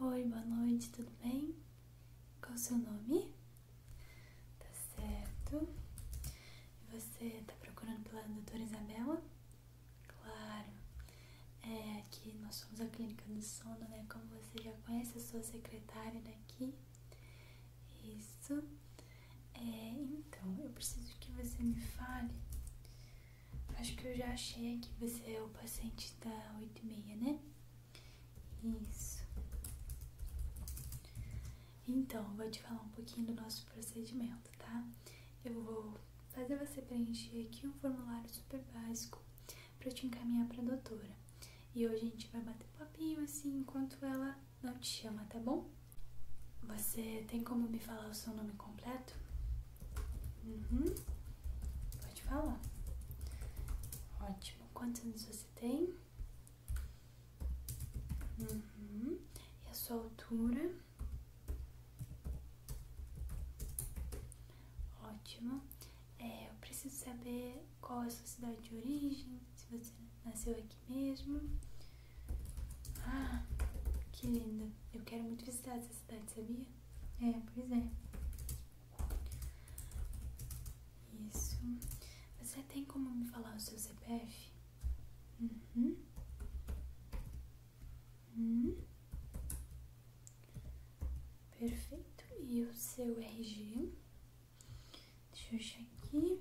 Oi, boa noite, tudo bem? Qual o seu nome? Tá certo. Você tá procurando pela doutora Isabela? Claro. É, aqui nós somos a clínica do sono, né? Como você já conhece, eu sou secretária daqui. Isso. É, então, eu preciso que você me fale Acho que eu já achei que você é o paciente da 86, né? Isso. Então, vou te falar um pouquinho do nosso procedimento, tá? Eu vou fazer você preencher aqui um formulário super básico para te encaminhar para a doutora. E hoje a gente vai bater papinho assim enquanto ela não te chama, tá bom? Você tem como me falar o seu nome completo? Uhum. Pode falar. Ótimo. Quantos anos você tem? Uhum. E a sua altura? Ótimo. É, eu preciso saber qual é a sua cidade de origem, se você nasceu aqui mesmo. Ah, que linda. Eu quero muito visitar essa cidade, sabia? é, pois é. Isso. Você tem como me falar o seu CPF? Uhum. Hum. Perfeito. E o seu RG? Deixa eu achar aqui.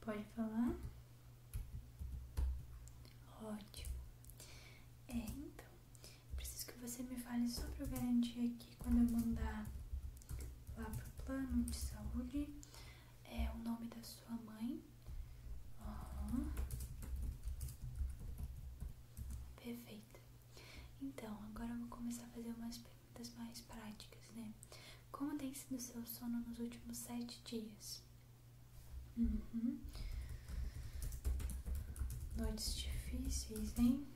Pode falar. Ótimo. É, então, preciso que você me fale só para eu garantir aqui quando eu mandar lá para o plano de saúde é o nome da sua mãe. Perfeito. Então, agora eu vou começar a fazer umas perguntas mais práticas, né? Como tem sido seu sono nos últimos sete dias? Uhum. Noites difíceis, hein?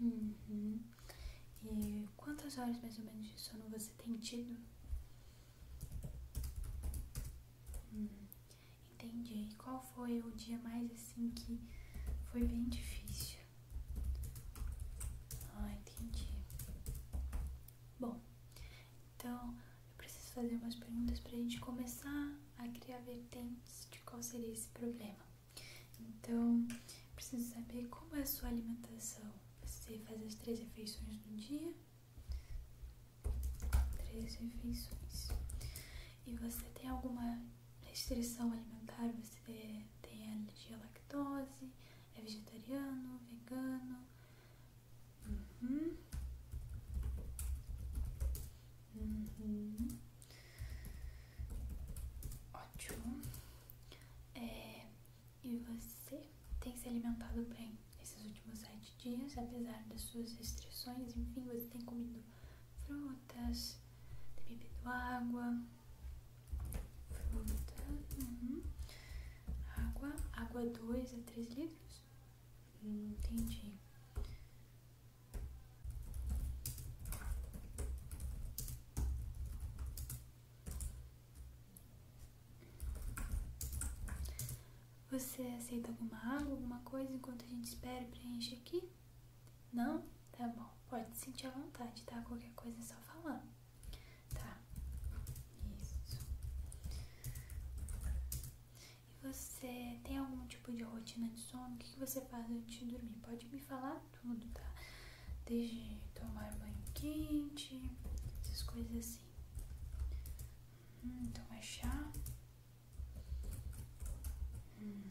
Uhum. E quantas horas mais ou menos de sono você tem tido? Hum, entendi. qual foi o dia mais assim que foi bem difícil? Ah, entendi. Bom, então eu preciso fazer umas perguntas para a gente começar a criar vertentes de qual seria esse problema. Então, preciso saber como é a sua alimentação. Você faz as três refeições no dia? Três refeições. E você tem alguma restrição alimentar? Você tem alergia à lactose? É vegetariano, vegano. Uhum. Uhum. Ótimo. É, e você tem se alimentado bem esses últimos sete dias, apesar das suas restrições, enfim, você tem comido frutas, tem bebido água, Água. Água 2 a 3 litros? não hum, entendi. Você aceita alguma água, alguma coisa enquanto a gente espera e preenche aqui? Não? Tá bom. Pode sentir à vontade, tá? Qualquer coisa é só falar. Tá, isso. E você tem algum tipo de rotina de sono? O que, você faz antes de dormir? Pode me falar tudo, tá? Desde tomar banho quente, essas coisas assim. Hum, tomar chá. Hum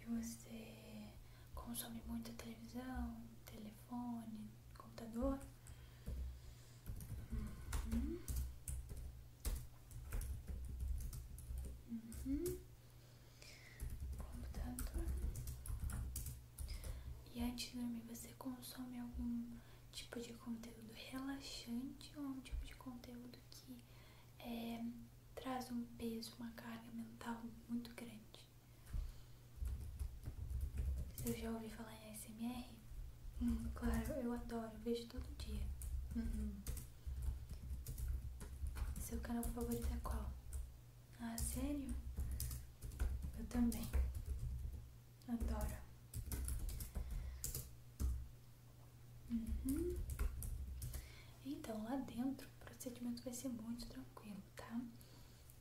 e você consome muita televisão, telefone, computador. Uhum. Uhum. Computador. E antes de dormir, você consome algum tipo de conteúdo relaxante ou um tipo de conteúdo que eh, traz um peso, uma carga mental muito grande? gente. Eu já ouvi falar em ASMR? Hum. claro, eu adoro, vejo todo dia. Uhum. Seu canal favorito é qual? Ah, sério? Eu também. Adoro. Uhum. Então, lá dentro o procedimento vai ser muito tranquilo, tá?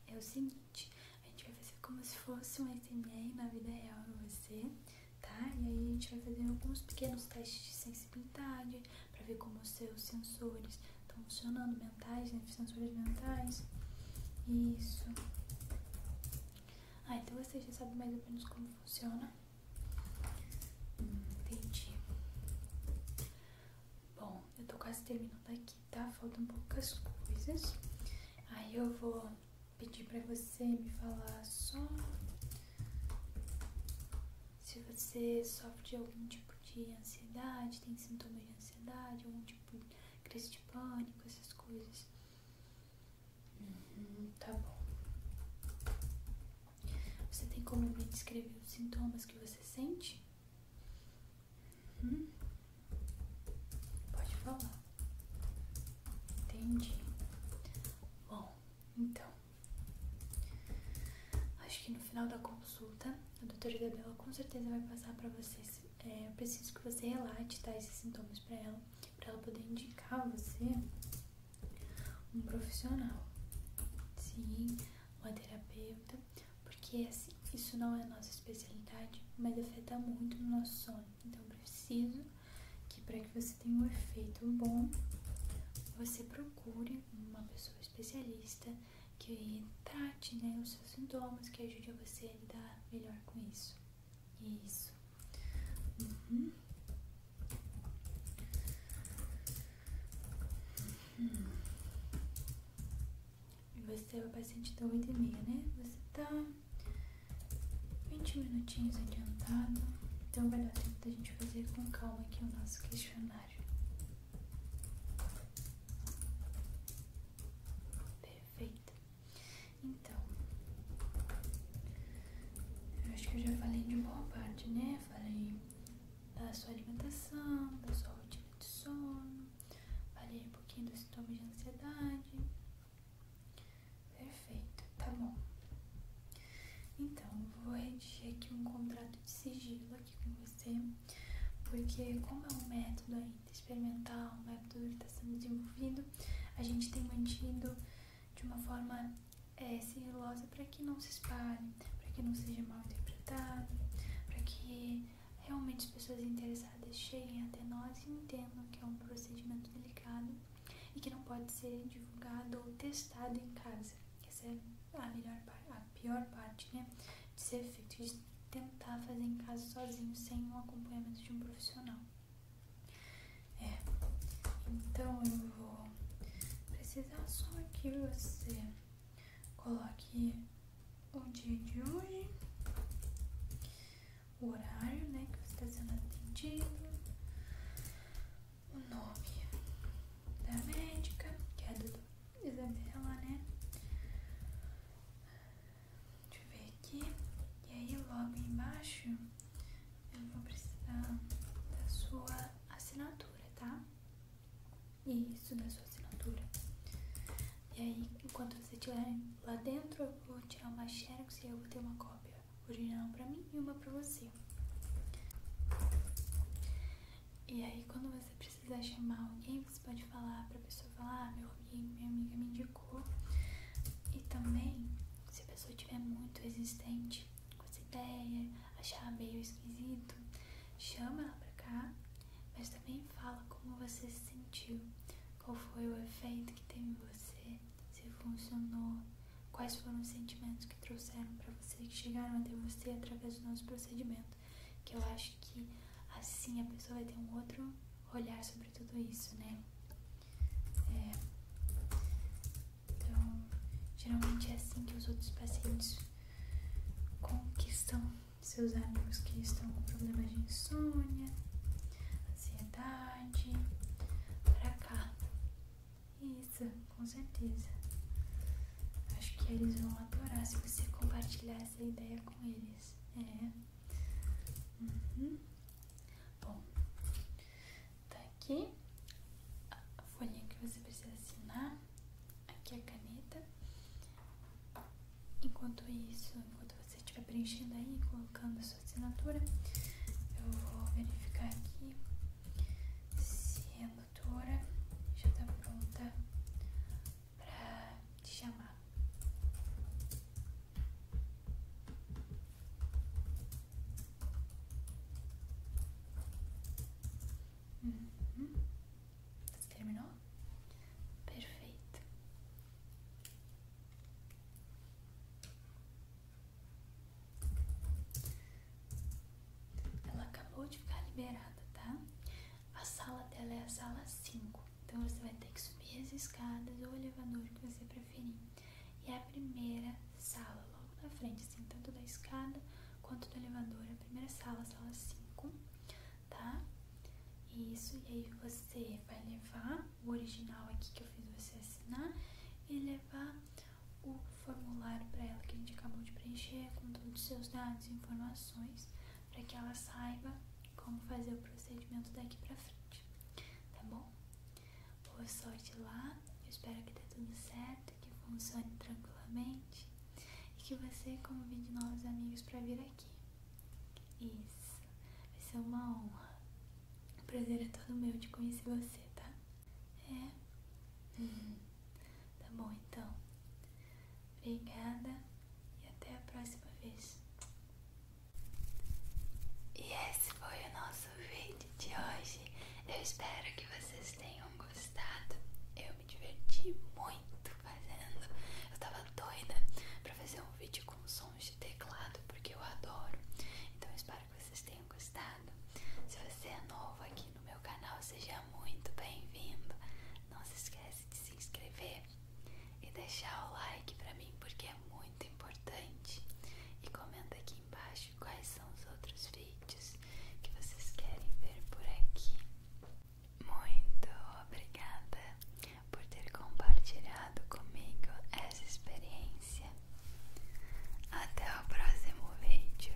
É o seguinte, a gente vai fazer como se fosse um SMR na vida real em você, tá? E aí a gente vai fazer alguns pequenos testes de sensibilidade para ver como os seus sensores estão funcionando, mentais, né? Sensores mentais. Isso. Ah, então você já sabe mais ou menos como funciona. Hum, entendi. Bom, eu tô quase terminando aqui, tá? Faltam poucas coisas. Aí eu vou pedir pra você me falar só se você sofre de algum tipo de ansiedade, tem sintomas de ansiedade, algum tipo de crise de pânico, essas coisas. Uhum, tá bom. Você tem como me descrever os sintomas que você sente? Hum? Pode falar. Entendi. Bom, então. Acho que no final da consulta, a doutora Isabela com certeza vai passar para vocês. É, preciso que você relate tá, esses sintomas para ela, para ela poder indicar você um profissional, sim, uma terapeuta, porque é assim, isso não é nossa especialidade, mas afeta muito no nosso sono. Então preciso que para que você tenha um efeito bom, você procure uma pessoa especialista que trate né, os seus sintomas, que ajude você a lidar melhor com isso. Isso. Uhum. E você é o paciente da tá 8 e meia, né? Você tá 20 minutinhos adiantado, então vai dar tempo da gente fazer com calma aqui o nosso questionário. Perfeito. Então, eu acho que eu já falei de boa parte, né? Falei da sua alimentação, da sua rotina de sono, falei um pouquinho dos sintomas de ansiedade. Perfeito, tá bom. Então, vou redigir aqui um contrato de sigilo aqui com você, porque como é um método ainda experimental, um método que está sendo desenvolvido, a gente tem mantido de uma forma é, celulosa é para que não se espalhe, para que não seja mal interpretado, para que realmente as pessoas interessadas cheguem até nós e entendam que é um procedimento delicado e que não pode ser divulgado ou testado em casa. Essa é a a pior parte, né, de ser feito, de tentar fazer em casa sozinho sem o acompanhamento de um profissional. É, então eu vou precisar só que você coloque o dia de hoje, o horário, né, que você está sendo atendido, o nome da médica, que é a doutora Isabela, né? Deixa eu ver aqui. E aí logo embaixo eu vou precisar da sua assinatura, tá? Isso, da sua assinatura. E aí, enquanto você estiver lá dentro, eu vou tirar uma xerox e eu vou ter uma cópia original pra mim e uma pra você. E aí, quando você precisar chamar alguém, você pode falar pra pessoa falar, ah, meu amigo, minha amiga me e também, se a pessoa estiver muito resistente com essa ideia, achar meio esquisito, chama ela pra cá, mas também fala como você se sentiu, qual foi o efeito que teve em você, se funcionou, quais foram os sentimentos que trouxeram para você, que chegaram até você através do nosso procedimento. Que eu acho que assim a pessoa vai ter um outro olhar sobre tudo isso, né? então, geralmente é assim que os outros pacientes conquistam seus amigos que estão com problemas de insônia, ansiedade, pra cá. Isso, com certeza. Acho que eles vão adorar se você compartilhar essa ideia com eles. É. Uhum. Bom, tá aqui a folhinha que você precisa assinar, aqui a caneta. Enquanto isso, enquanto você estiver preenchendo aí, colocando a sua assinatura, eu vou verificar aqui se a doutora já está pronta para te chamar. Uhum. terminou? Perfeito. Ela acabou de ficar liberada, tá? A sala dela é a sala cinco. Então você vai ter que subir as escadas ou o elevador que você preferir. E a primeira sala, logo na frente, assim, tanto da escada quanto do elevador, a primeira sala, sala 5, tá? Isso, e aí você vai levar o original aqui que eu fiz você assinar e levar o formulário para ela que a gente acabou de preencher com todos os seus dados e informações para que ela saiba como fazer o procedimento daqui pra frente, tá bom? Boa sorte lá, eu espero que dê tudo certo, que funcione tranquilamente e que você convide novos amigos pra vir aqui. Isso, vai ser uma honra. O prazer é todo meu de conhecer você, tá? É? Uhum. tá bom então. Obrigada e até a próxima vez. E esse foi o nosso vídeo de hoje. Eu espero que vocês tenham gostado. Eu me diverti muito fazendo. Eu tava doida pra fazer um vídeo com sons de teclado, porque eu adoro. Então eu espero que vocês tenham gostado. Se você é novo aqui no meu canal, seja muito bem-vindo. Não se esqueça de se inscrever e deixar o like pra mim porque é muito importante. E comenta aqui embaixo quais são os outros vídeos que vocês querem ver por aqui. Muito obrigada por ter compartilhado comigo essa experiência. Até o próximo vídeo.